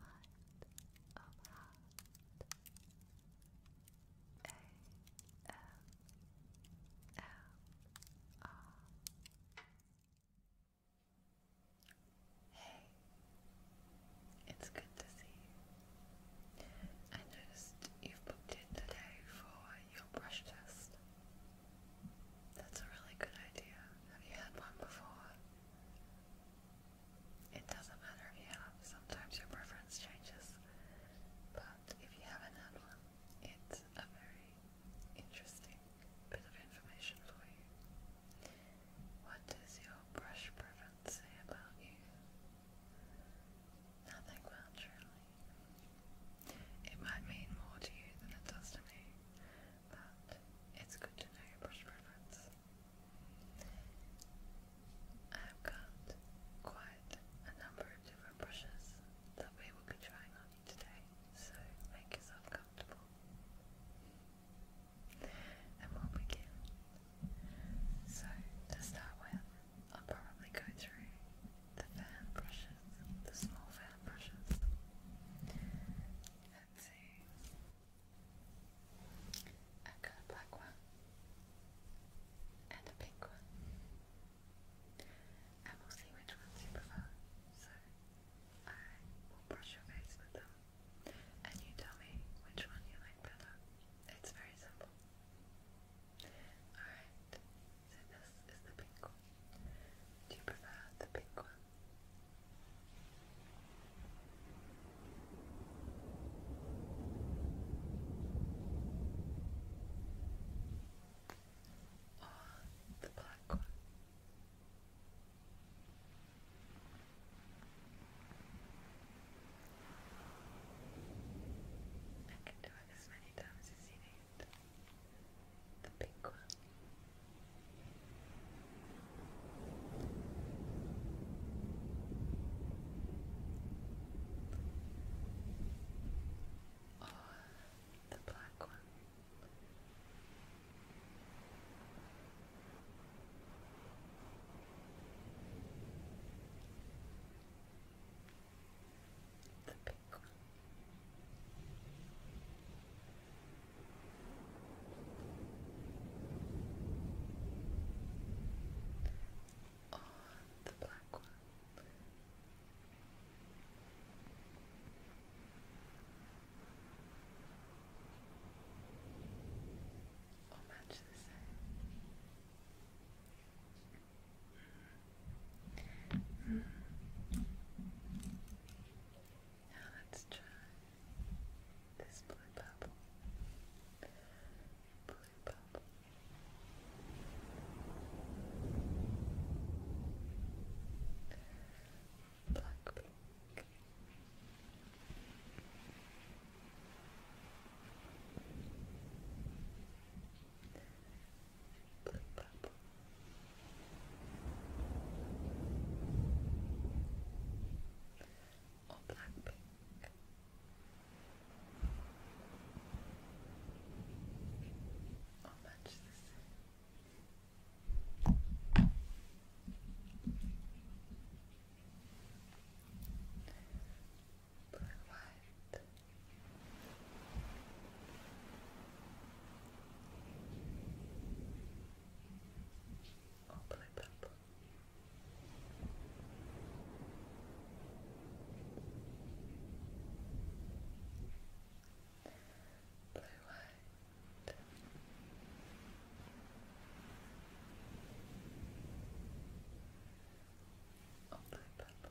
Light Hey, it's good to see you. I noticed you've booked in today for your brush test. That's a really good idea. Have you had one before? It doesn't matter if you have, sometimes your preference changes, but if you haven't had one, it's a very interesting bit of information for you. What does your brush preference say about you? Nothing much, really. It might mean more to you than it does to me, but it's good to know your brush preference. I've got quite a number of different brushes that we will be trying on you today, so make yourself comfortable. And we'll begin. So, to start with, I'll probably go through the fan brushes, the small fan brushes, I've got a black one and a pink one. And will see which ones you prefer. So I will brush your face with them and you tell me which one you like better. It's very simple. Alright, so this is the pink one. Do you prefer the pink one? Or oh, the black one? I can do it as many times as you need. The pink one. Or oh, the black one. The pink or oh, the black one. Or match the same. Mm. Now let's try this blue bubble. Blue bubble. Black pink blue purple. Or black pink. Or much Blue white. Oh, blue purple. Blue white. blue purple.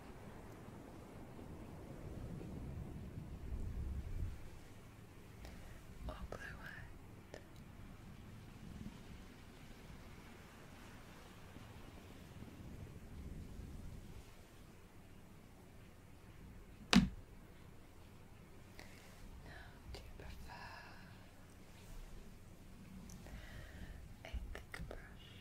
or blue-eyed. Now, do you prefer a thick brush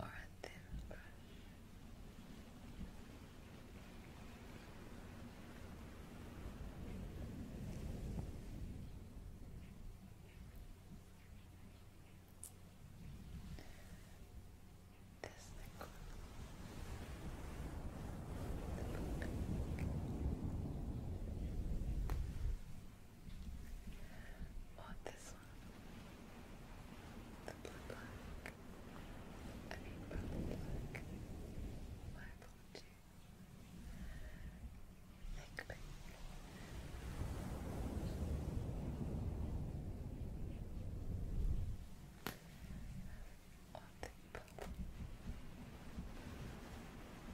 or a thin brush. This liquid, Bought this one. The blue black. I mean purple black. Black blue too. Thick pink. Or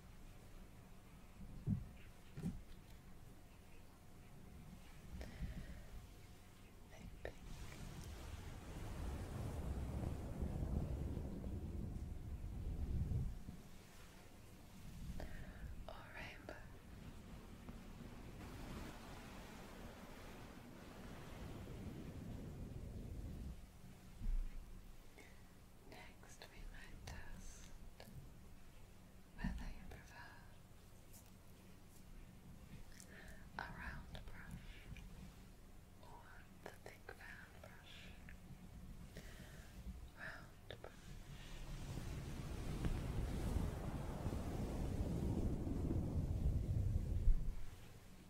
Maybe. Or Next, we might test whether you prefer a round brush or the thick fan brush. Round brush. Round brush.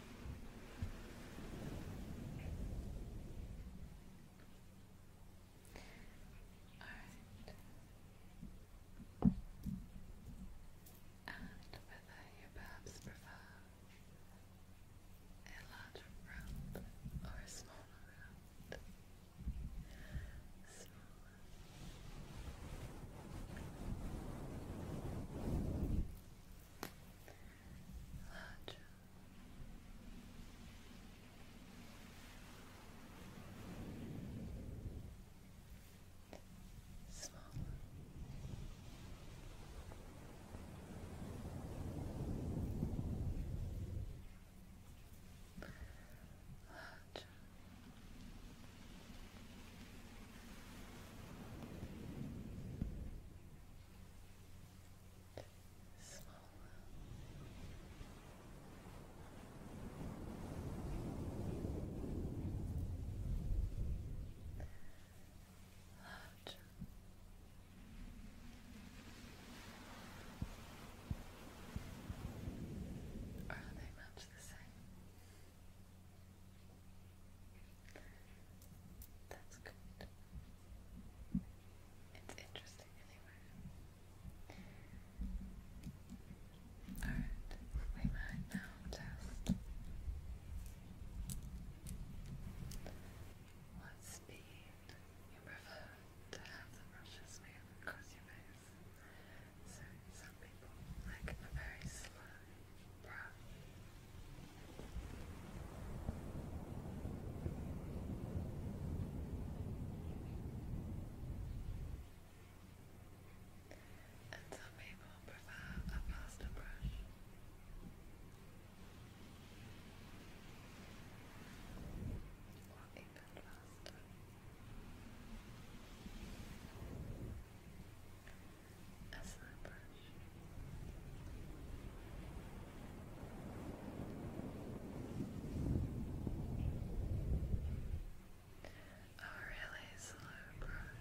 Alright. And whether you perhaps prefer a larger round or a smaller round larger. Smaller. Larger. Small. Or are they much the same? That's good. It's interesting anyway. Alright, we might now test what speed you prefer to have the brushes move across your face. So some like a very slow breath. And some people prefer a faster brush. Or even faster a slap brush. A really slow brush.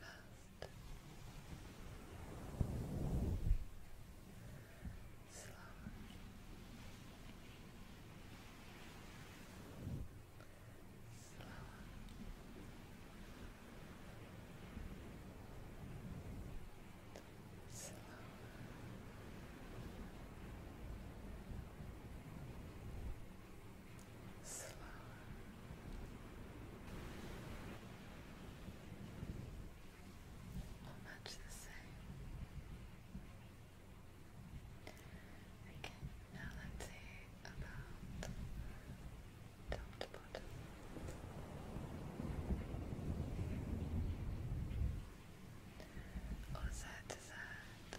fast, slow, slow. Slow. Slow. Slow. much the same. Okay, now let's see about top to bottom. Or side to side.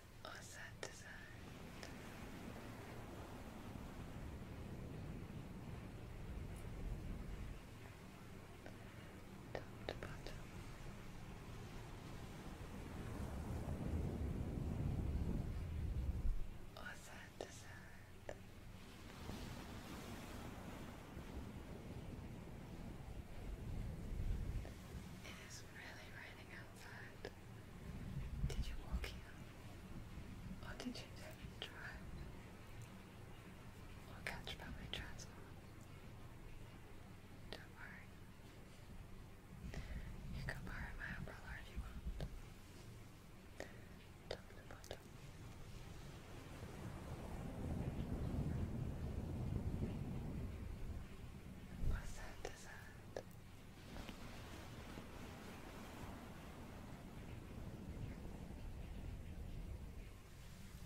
or set to side. Top to bottom. Or side to side. It is really raining outside. Did you walk here? Or did you drive? Or catch public transport? Don't worry. You can borrow my umbrella if you want. Top to bottom. What sound that?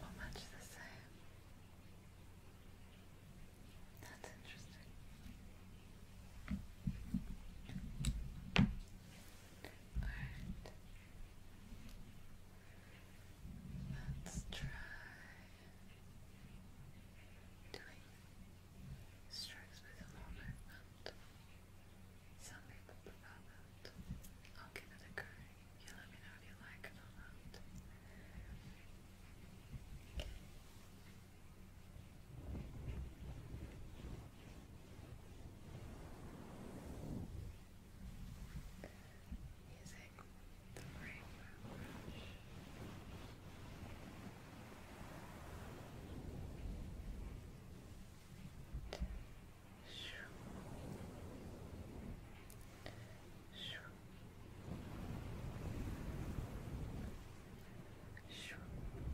Not much the same. That's interesting. Alright. Let's try doing strokes with more movement. Some people prefer that. I'll give it a go. You let me know if you like it or not using the primer brush. Shoo. Shoo. Shoo. Shoo.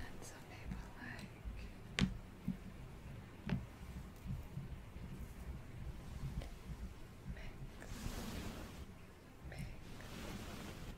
And some people like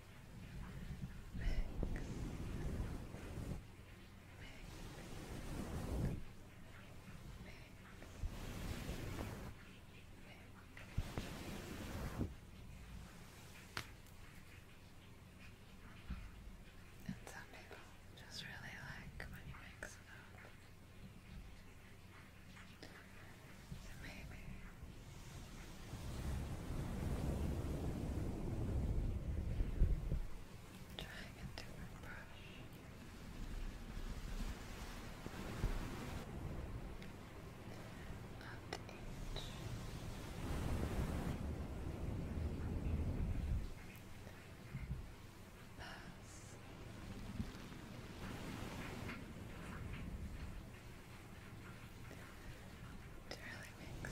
Mix. And some people just really like when you mix it up. maybe Trying a different brush. Not the inch. Pass to really mix.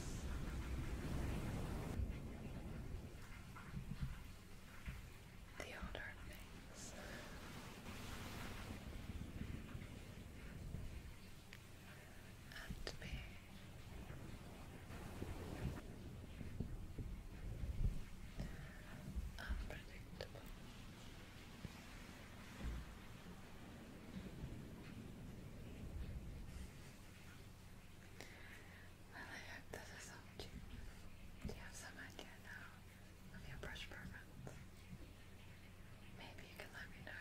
The older things. And be unpredictable. Well, you. Do you have some idea now of your brush preference? Maybe you can let me know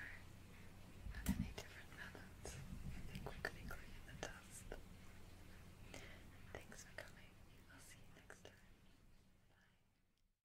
of any different methods you think we could include in the test. Thanks for coming. I'll see you next time. Bye.